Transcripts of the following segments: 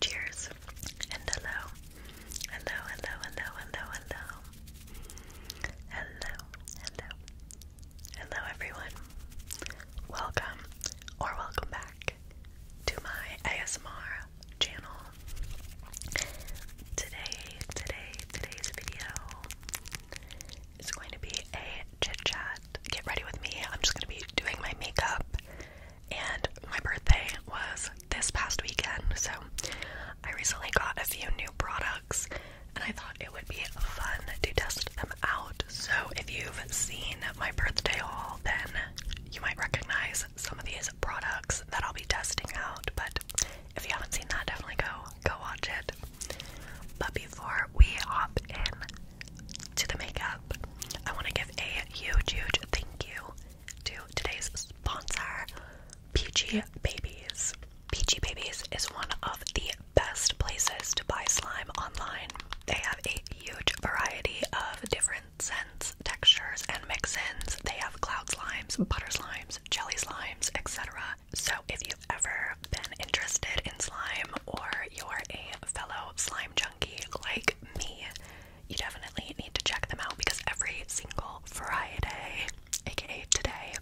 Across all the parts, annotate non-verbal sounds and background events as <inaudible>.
Cheers and hello. Hello, hello, hello, hello, hello. Hello, hello. Hello everyone. Welcome or welcome back to my ASMR channel. Today, today, today's video it's going to be a chit chat. Get ready with me. I'm just going to be doing my makeup. And my birthday was this past weekend, so I recently got a few new products and I thought it would be fun to test them out. So if you've seen my birthday haul, then you might recognize some of these products that I'll be testing out. But if you haven't seen that, definitely go go watch it. But before we hop in to the makeup, I want to give a huge, huge thank you to today's sponsor, Peachy Babies. Peachy Babies is one of the best places to buy slime online. They have a huge variety of different scents, textures, and mix-ins. They have cloud slimes, butter slimes, jelly slimes, etc so if you've ever been interested in slime or you're a fellow slime junkie like me, you definitely need to check them out because every single Friday, aka today,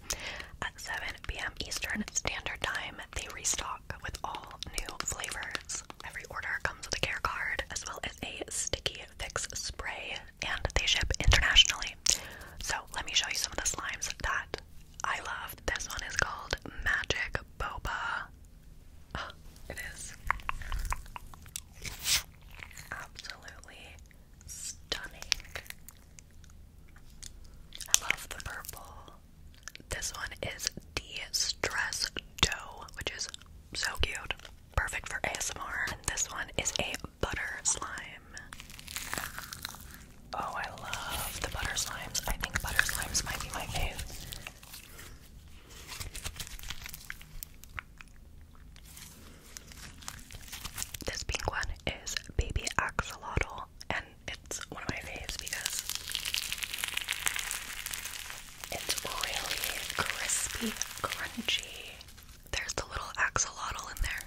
at 7 p.m. Eastern Standard Time, they restock with all new flavors. Every order comes with a care card as well as a sticky fix spray and they ship internationally. So let me show you some of the slimes that I love. This one is called Magic Boba. <gasps> it is absolutely stunning. I love the purple. This one is De-Stress Dough, which is so cute. Perfect for ASMR. And this one is a butter slime. Oh, I love the butter slimes. I think butter slimes might be my fave. This pink one is Baby Axolotl, and it's one of my faves because it's really crispy, crunchy. There's the little axolotl in there.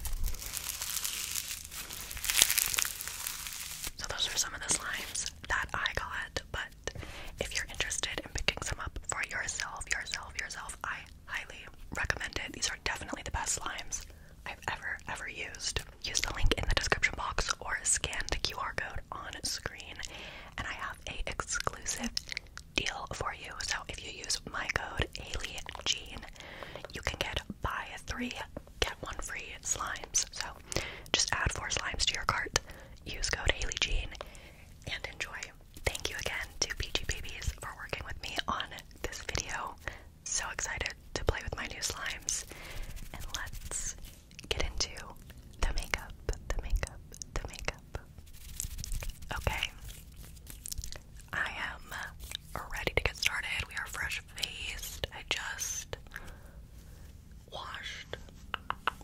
So those are some of the slimes that I got, but if you're interested in picking some up for yourself, yourself, yourself, I highly recommend it. These are definitely the best slimes I've ever, ever used. Use the link in the description box or scan the QR code on screen, and I have a exclusive deal for you. So if you use my code ALIEGENE you can get buy three, get one free slimes. So just add four slimes to your cart, use code HaleyJean, and enjoy. Thank you again to PG Babies for working with me on this video. So excited to play with my new slimes. And let's get into the makeup, the makeup, the makeup. Okay. I am ready to get started. We are fresh faced. I just washed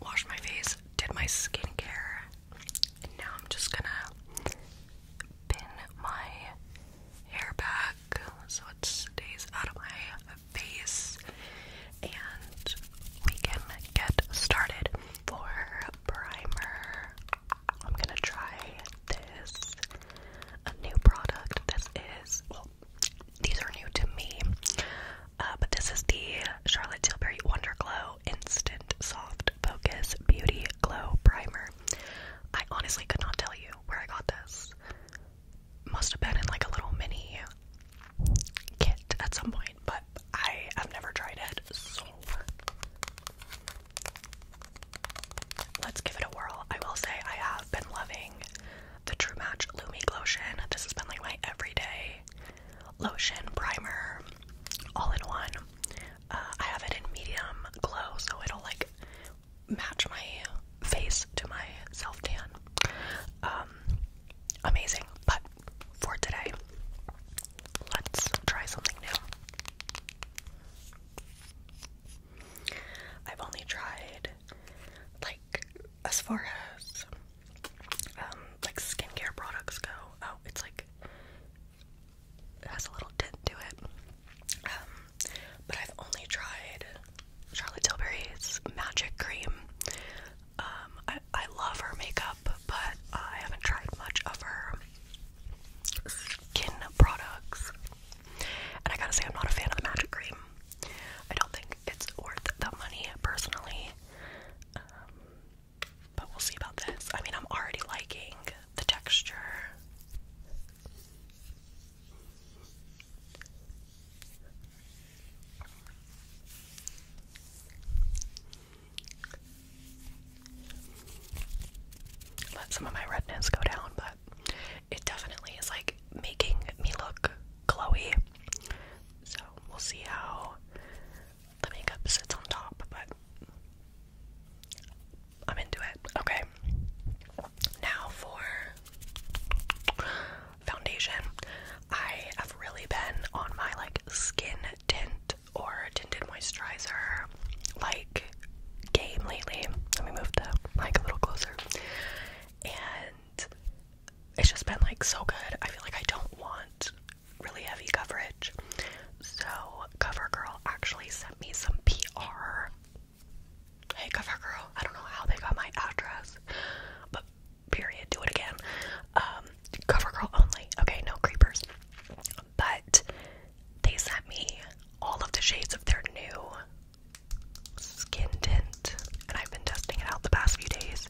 washed my face, did my skincare, and now I'm just gonna pin my hair back so it stays out of my face and we can get started for primer, I'm gonna try this a new product. This is these are new to me, uh, but this is the Charlotte Tilbury Wonder Glow Instant Soft Focus Beauty Glow Primer. I honestly could not tell you where I got this. Must have been in like a little mini kit at some point, but I have never tried it, so Let's give it a whirl. I will say I have been loving the True Match Lumi Glotion. This has been like my everyday lotion, primer, all in one. Uh, I have it in medium glow, so it'll like match my face to my self tan. Um, amazing. But for today, Let's try something new. I've only tried like as far as um, like skincare products go. Oh, it's like it has a little tint to it. Um, but I've only tried Charlotte Tilbury's Magic Cream. Um, I, I love her makeup but I haven't tried much of her skin products. And I gotta say, I'm not a fan of the magic cream. I don't think it's worth the money personally. Um, but we'll see about this. I mean, I'm already liking the texture. Let some of my redness go down, but it definitely is like making me look glowy. So we'll see how the makeup sits on top, but I'm into it. Okay. Now for foundation. I have really been on my like skin tint or tinted moisturizer like game lately. Let me move the mic a little closer. And it's just been like so good. I feel like I don't want really heavy coverage. So CoverGirl actually sent me some PR. Hey CoverGirl, I don't know how they got my address, but period, do it again. Um, CoverGirl only. Okay, no creepers. But they sent me all of the shades of their new skin tint, and I've been testing it out the past few days.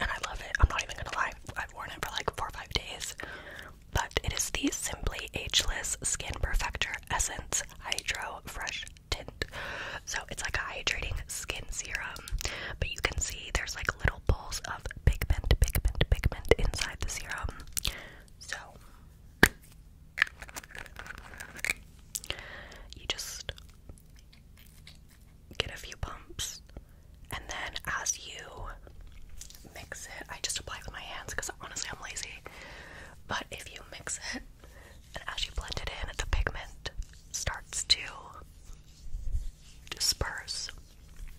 And I love it. I'm not even gonna lie, I've worn it for like four or five days. But it is the Simply Ageless Skin Perfector Essence Hydro Fresh Tint. So it's like a hydrating skin serum, but you can see there's like little balls of pigment, pigment, pigment inside the serum. So, you just get a few pumps, and then as you mix it, I just apply with my hands because honestly I'm lazy. But if you mix it, and as you blend it in, the pigment starts to disperse.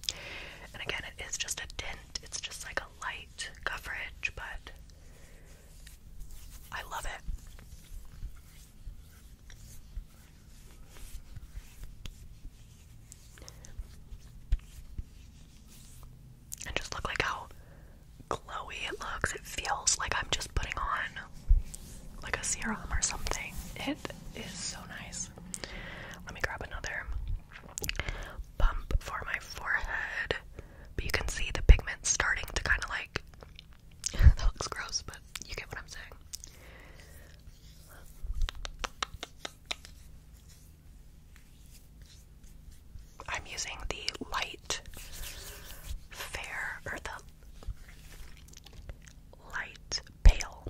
And again, it is just a tint, it's just like a light coverage, but I love it. And just look like how glowy it looks. It feels like I'm just putting on like a serum or something. It is so nice. Let me grab another pump for my forehead. you can see the pigment starting to kind of like. <laughs> that looks gross, but you get what I'm saying. I'm using the light fair or light pale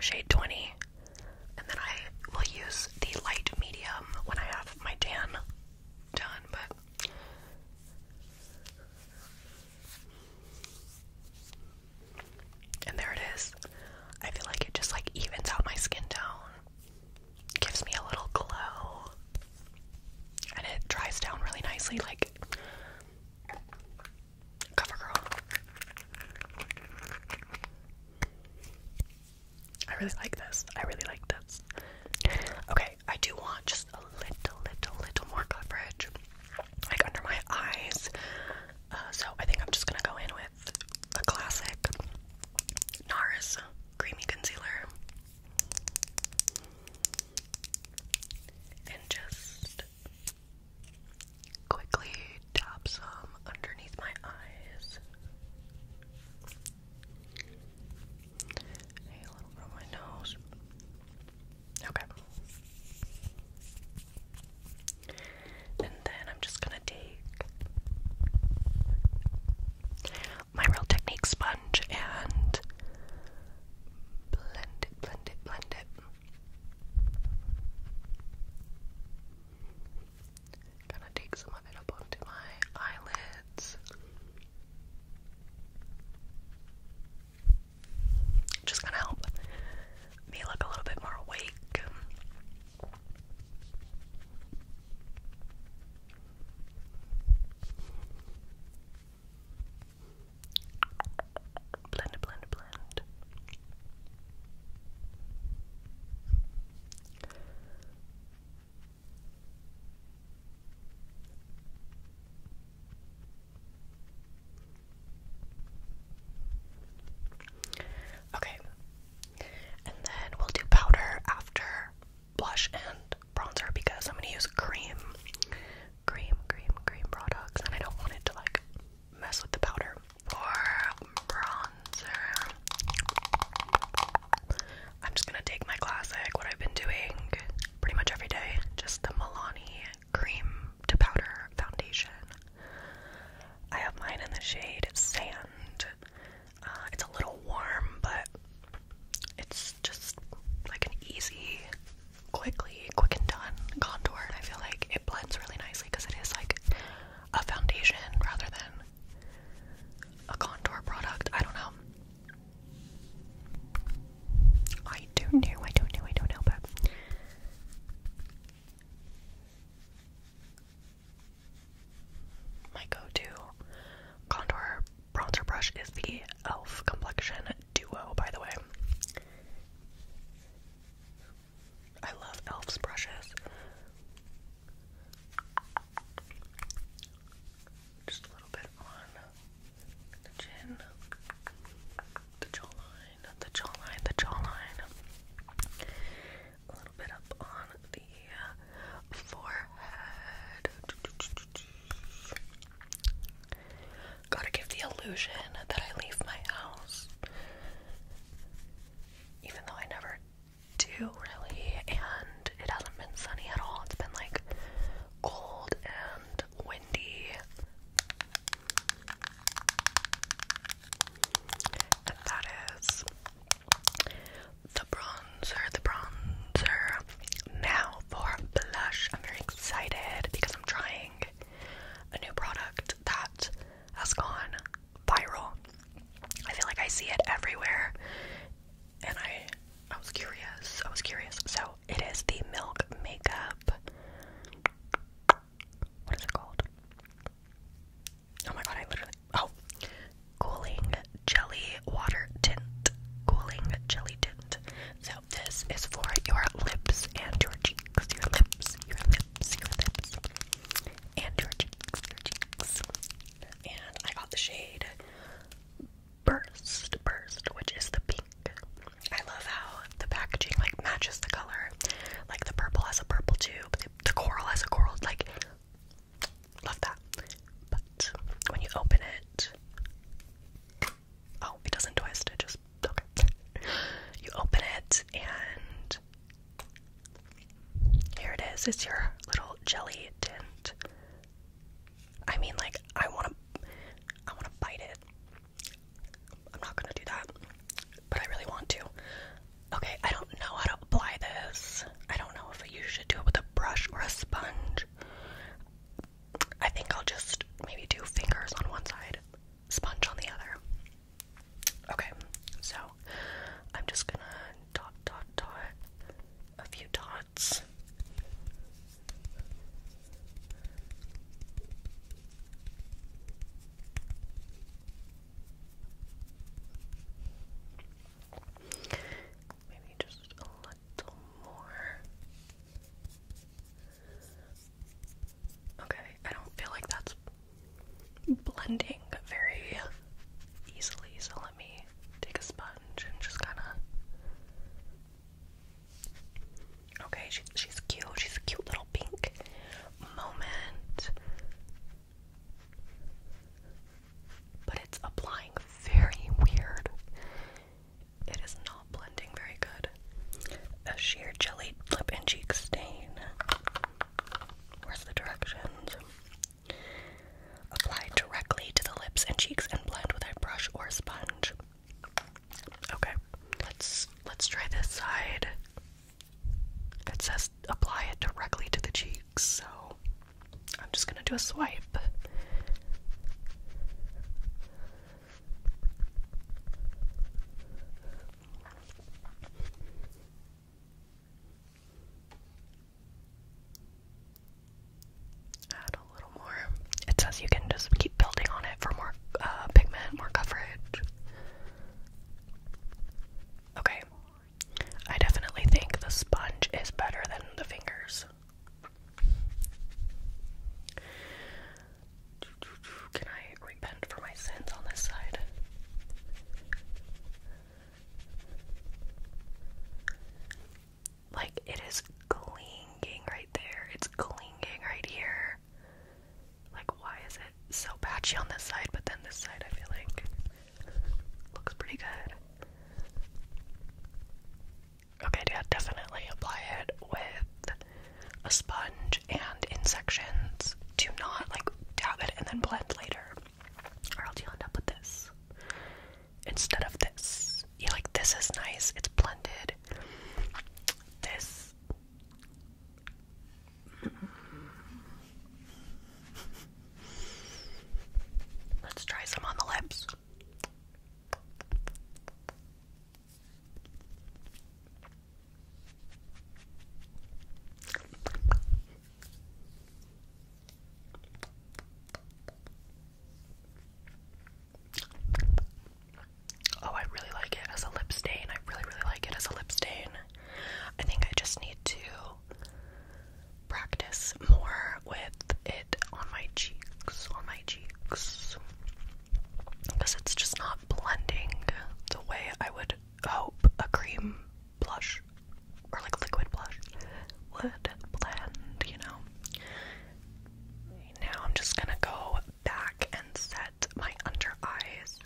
shade 20 and then I will use the light medium when I have my tan done but and there it is I feel like it just like evens out my skin tone gives me a little glow and it dries down really nicely like CoverGirl. I really like this. I really like this. Okay, I do want just a little, little, little more coverage, like under my eyes. Uh, so I think I'm just gonna go in with the classic NARS creamy concealer and just quickly tap some underneath my eyes. a little from my nose. Okay. And then I'm just gonna take my Real Technique sponge and blend it, blend it, blend it. Gonna take some of it up onto my eyelids. Just gonna help me look a little bit more awake. Blend, blend, blend. Okay, and then we'll do powder after blush and bronzer because I'm going to use cream cream, cream, cream products, and I don't want it to like mess with the powder or bronzer. I'm just gonna take my classic, what I've been doing pretty much every day, just the Milani cream to powder foundation. I have mine in the shade Sand. Uh, it's a little warm, but it's just like an easy, quickly, quick and done contour. And I feel like it blends really nicely because it is like a foundation rather than a contour product. I don't know. I don't know, I don't know, I don't know, but my go to contour bronzer brush is the e.l.f. Complexion duo, by the way. I love Elf's brushes. Just a little bit on chin, the jawline, the jawline, the jawline. A little bit up on the forehead. Gotta give the illusion that I leave my house. Even though I never do really, and it hasn't been sunny at all. It's been like cold and windy. And that is the bronzer, the bronzer now for blush. I'm very excited because I'm trying a new product that has gone viral. I feel like I see it everywhere and I I was curious. I was curious. So it is the Milk Makeup. What is it called? Oh my god, I literally oh cooling jelly water tint. Cooling jelly tint. So this is for your lips and your cheeks, your lips, your lips, your lips, and your cheeks, your cheeks. And I got the shade Burst, Burst, which is the pink. I love how the packaging like matches the color. Like the purple has a purple tube, the, the coral has a coral. Like, love that. But when you open it, Oh, it doesn't twist, it just okay. you open it and here it is. It's your little jelly tint. I mean like I wanna I wanna bite it. I'm not gonna do that. But I really want to. Okay, I don't know how to apply this. I don't know if you should do it with a brush or a sponge. I think I'll just maybe do fingers on one side, sponge on the other. Okay, so I'm just gonna dot, dot, dot a few dots. Maybe just a little more. Okay, I don't feel like that's blending very easily, so let me take a sponge and just kind of. Okay, she's she's cute. She's a cute little pink moment but it's applying very weird. It is not blending very good. A sheer jelly lip and cheek stain. Where's the directions? Apply directly to the lips and cheeks and blend with a brush or sponge. Okay, let's let's try this side. It says apply it directly to the cheek so I'm just gonna do a swipe. Add a little more. It says you can just keep building on it for more uh, pigment, more coverage. Okay, I definitely think the sponge is better than the fingers. Can I repent for my sins on this side? Like, it is clinging right there. It's clinging right here. Like, why is it so patchy on this side, but then this side, I feel like Looks pretty good. Okay, yeah, definitely apply it with a sponge and in sections. Do not like dab it and then blend later, or else you end up with this instead of this. You like this is nice, it's blended. This. Let's try some on the lips. Oh, I really like it as a lip stain. I really, really like it as a lip stain. I think I just need to practice more with it on my cheeks, on my cheeks. Because it's just not blending the way I would hope a cream blush or like liquid blush would blend, you know. Now I'm just gonna go back and set my under eyes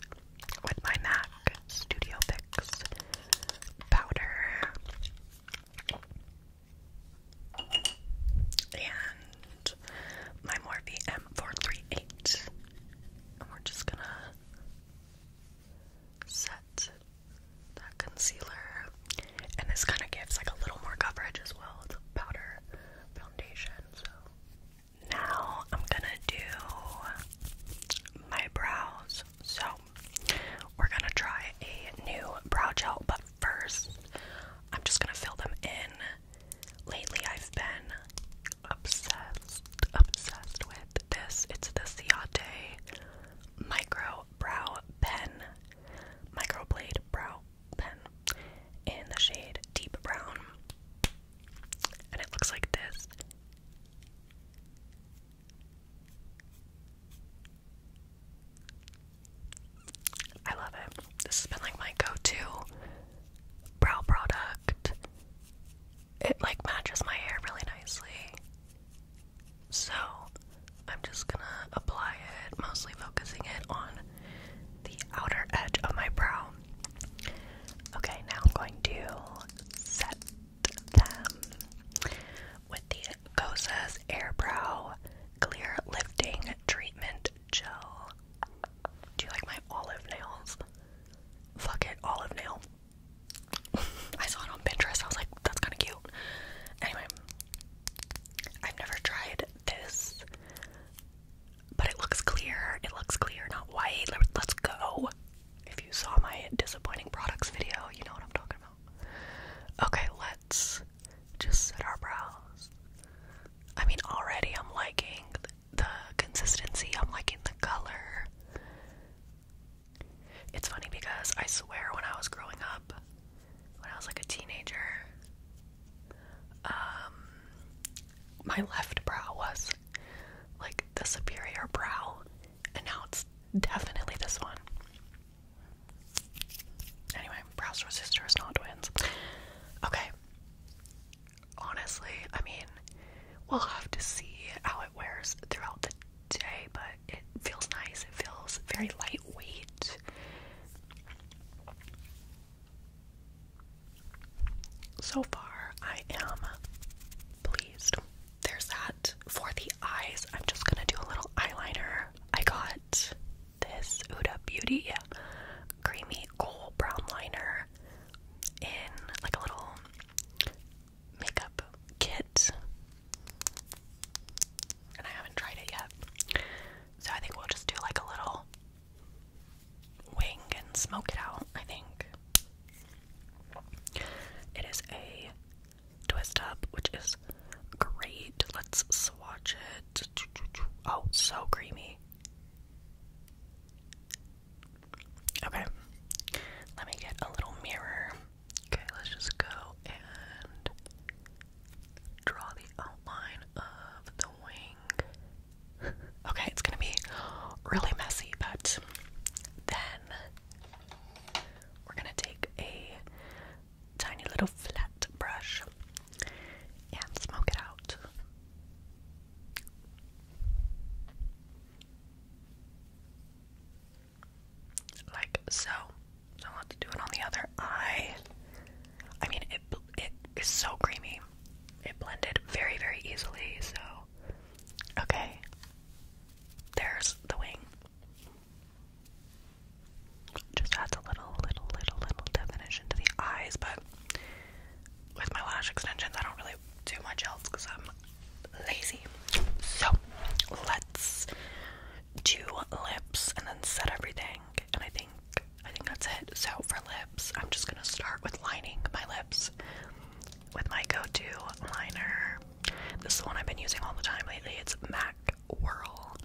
with my MAC Studio Fix powder. And my Morphe M438. And we're just gonna set that concealer. And this kind of gives like a little more coverage as well. It's a powder foundation, so. Now I'm gonna do my brows. So we're gonna try a new brow gel, but first, I'm just gonna fill them in. Lately, I've been obsessed, obsessed with this. It's the Ciate Micro Brow Pen, Microblade Brow Pen in the shade Deep Brown. And it looks like this. I love it. This has been like my go to brow product. It like matches my hair really nicely. So I'm just gonna apply it, mostly focusing it on the outer edge of my brow. Okay, now I'm going to set with the Goza's Airbrow Clear Lifting Treatment Gel. Do you like my olive nails? Fuck it, olive nail. I saw it on Pinterest. I was like, that's kind of cute. Anyway, I've never tried this, but it looks clear. It looks clear, not white. Let's go. If you saw my disappointing products video, you know what I'm talking about. Okay, let's just set our brows. I mean, already I'm liking the consistency, I'm liking the color. It's funny because I swear when I was growing up, when I was like a teenager, um, my left brow was like the superior brow and now it's definitely this one. Anyway, Browser sisters, not twins. Okay. Honestly, I mean, we'll have to see how it wears throughout the day, but it feels nice. It feels very lightweight. So far, I am pleased. There's that. For the eyes, I'm just gonna do a little eyeliner. I got this Uda Beauty creamy gold brown liner in like a little makeup kit. And I haven't tried it yet. So I think we'll just do like a little wing and smoke it out, I think. It is a twist up, which is great. Let's swatch it. Oh, so creamy. Okay, let me get a little mirror. Okay, let's just go and draw the outline of the wing. <laughs> okay, it's gonna be really messy, but then we're gonna take a tiny little flat brush and smoke it out. Like so. So let's do it on the other eye. I mean, it it is so creamy. It blended very, very easily. So, okay, there's the wing. Just adds a little, little, little, little definition to the eyes, but with my lash extensions, I don't really do much else because I'm lazy. So let's do lips and then set everything. And I think I think that's it. So for lips, I'm just gonna start with lining my lips with my go-to liner. This is the one I've been using all the time lately. It's MAC Whirl.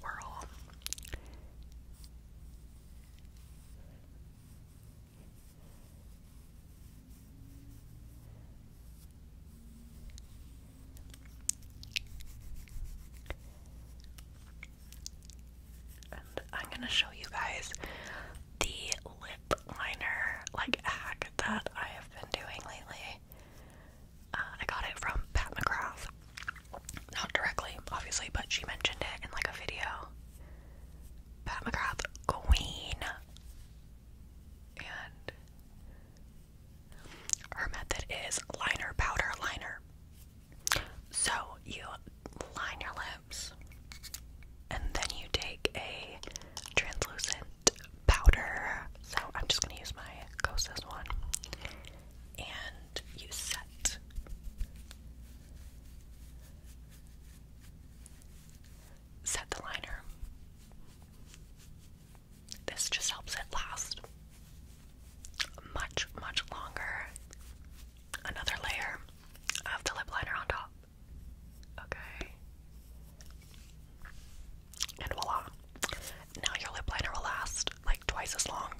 Whirl. And I'm going to show you guys the lip liner like hack that I have been doing lately. Uh, I got it from Pat McGrath. Not directly, obviously, but she mentioned it in like a video. Pat McGrath, Queen. And her method is liner, powder, liner. So you line your lips, and then you take a translucent powder. So I'm just gonna use my Kosas one and use set. Set the liner. This just helps it last much, much longer. Another layer of the lip liner on top. Okay. And voila. Now your lip liner will last like twice as long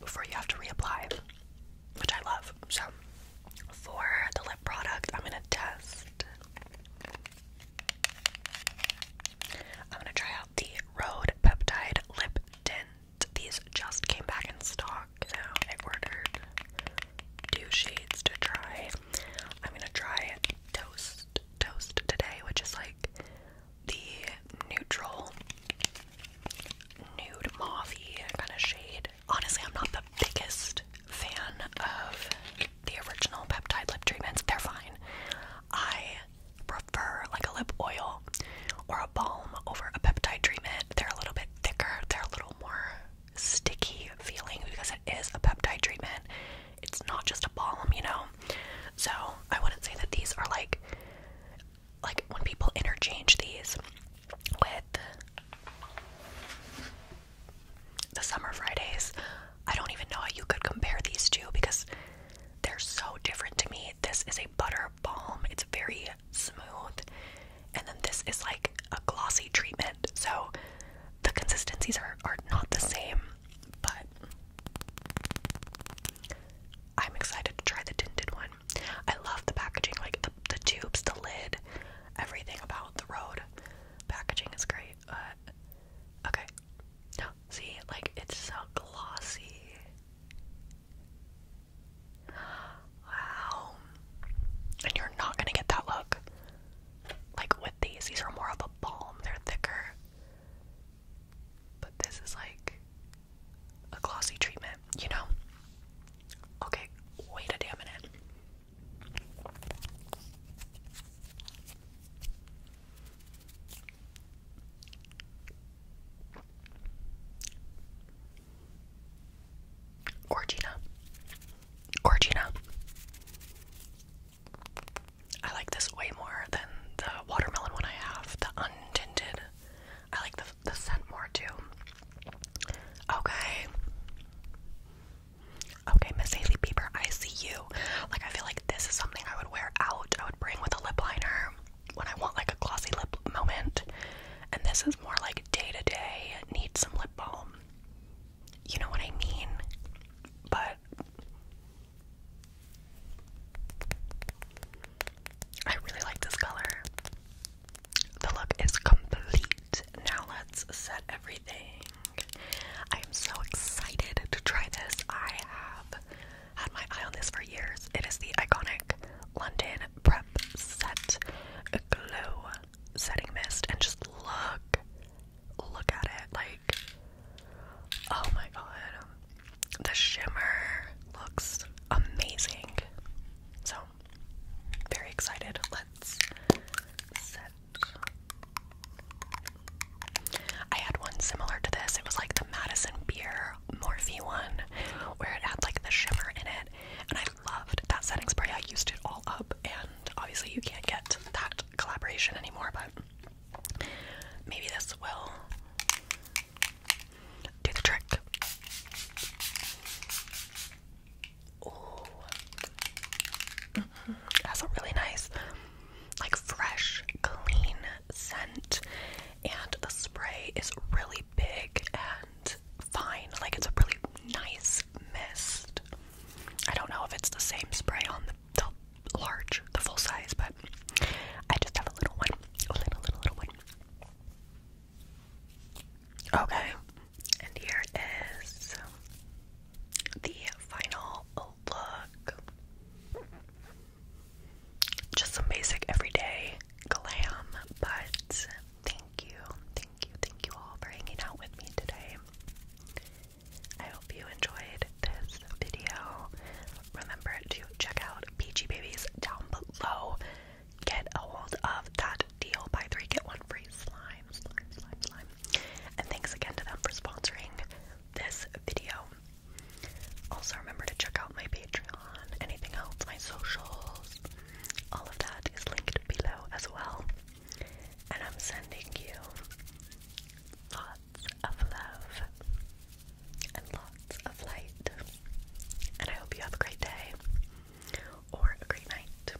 before you have to reapply, which I love. So, for the lip product, I'm gonna test. I'm gonna try out the Road Peptide Lip Tint. These just came back in stock so I ordered two shades to try. I'm gonna try Toast Toast today, which is like the neutral nude mauvey kind of shade. Honestly, I'm not the biggest fan of the original peptide lip treatments. They're fine. I prefer like a lip oil or a balm over a peptide treatment. They're a little bit thicker, they're a little more sticky feeling because it is a peptide treatment. It's not just a balm, you know. So I wouldn't say that these are like like when people interchange these with the summer Fridays. I don't even know how you could compare these two because they're so different to me. This is a butter balm. It's very smooth. And then this is like a glossy treatment. So the consistencies are, are not the same, but I'm excited to try the tinted one. I love the packaging, like the, the tubes, the lid, everything about the road. Packaging is great. Uh, okay. See, like it's so glossy. Wow. And you're not gonna get that look. Like with these, these are more of a balm, they're thicker. But this is like a glossy treatment, you know? Okay, wait a damn minute. Gorgina. Gorgina. I like this way more than the watermelon one I have, the untinted. I like the, the scent more too. Okay. Okay, Miss Haley Bieber, I see you. Like, I feel like this is something I would wear out. I would bring with a lip liner when I want like a glossy lip moment. And this is someone's more like day to day needs some lip balm. You know what I mean? But I really like this color. The look is complete. Now let's set everything. I am so excited to try this. I have had my eye on this for years. It is the iconic London Prep Set Glow Setting Mist and just look, look at it. Like, oh my god, the shimmer looks amazing. So, very excited. Let's I had one similar to this. It was like the Madison Beer Morphe one where it had like the shimmer in it. And I loved that setting spray. I used it all up, and obviously you can't get that collaboration anymore, but maybe this will do the trick. Ooh. Mm mm-hmm. That's a really nice, like fresh, clean scent, and the spray is really big and fine. Like it's a really nice mist. I don't know if it's the same spray on the, large, the full size, but I just have a little one. A little, little, little one. Okay. And here is the final look. Just some basic everyday glam, but thank you, thank you, thank you all for hanging out with me today. I hope you enjoyed this video. Remember to check out Peachy Babies down below. Get a hold of that deal. Buy three, get one free slimes. slime, slime. And thanks again to them for sponsoring this video. Also, remember to check out my Patreon anything else, my socials, all of that is linked below as well. And I'm sending you lots of love and lots of light. And I hope you have a great day or a great night.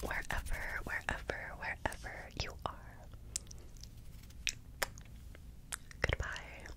Wherever, wherever, wherever you are. Goodbye.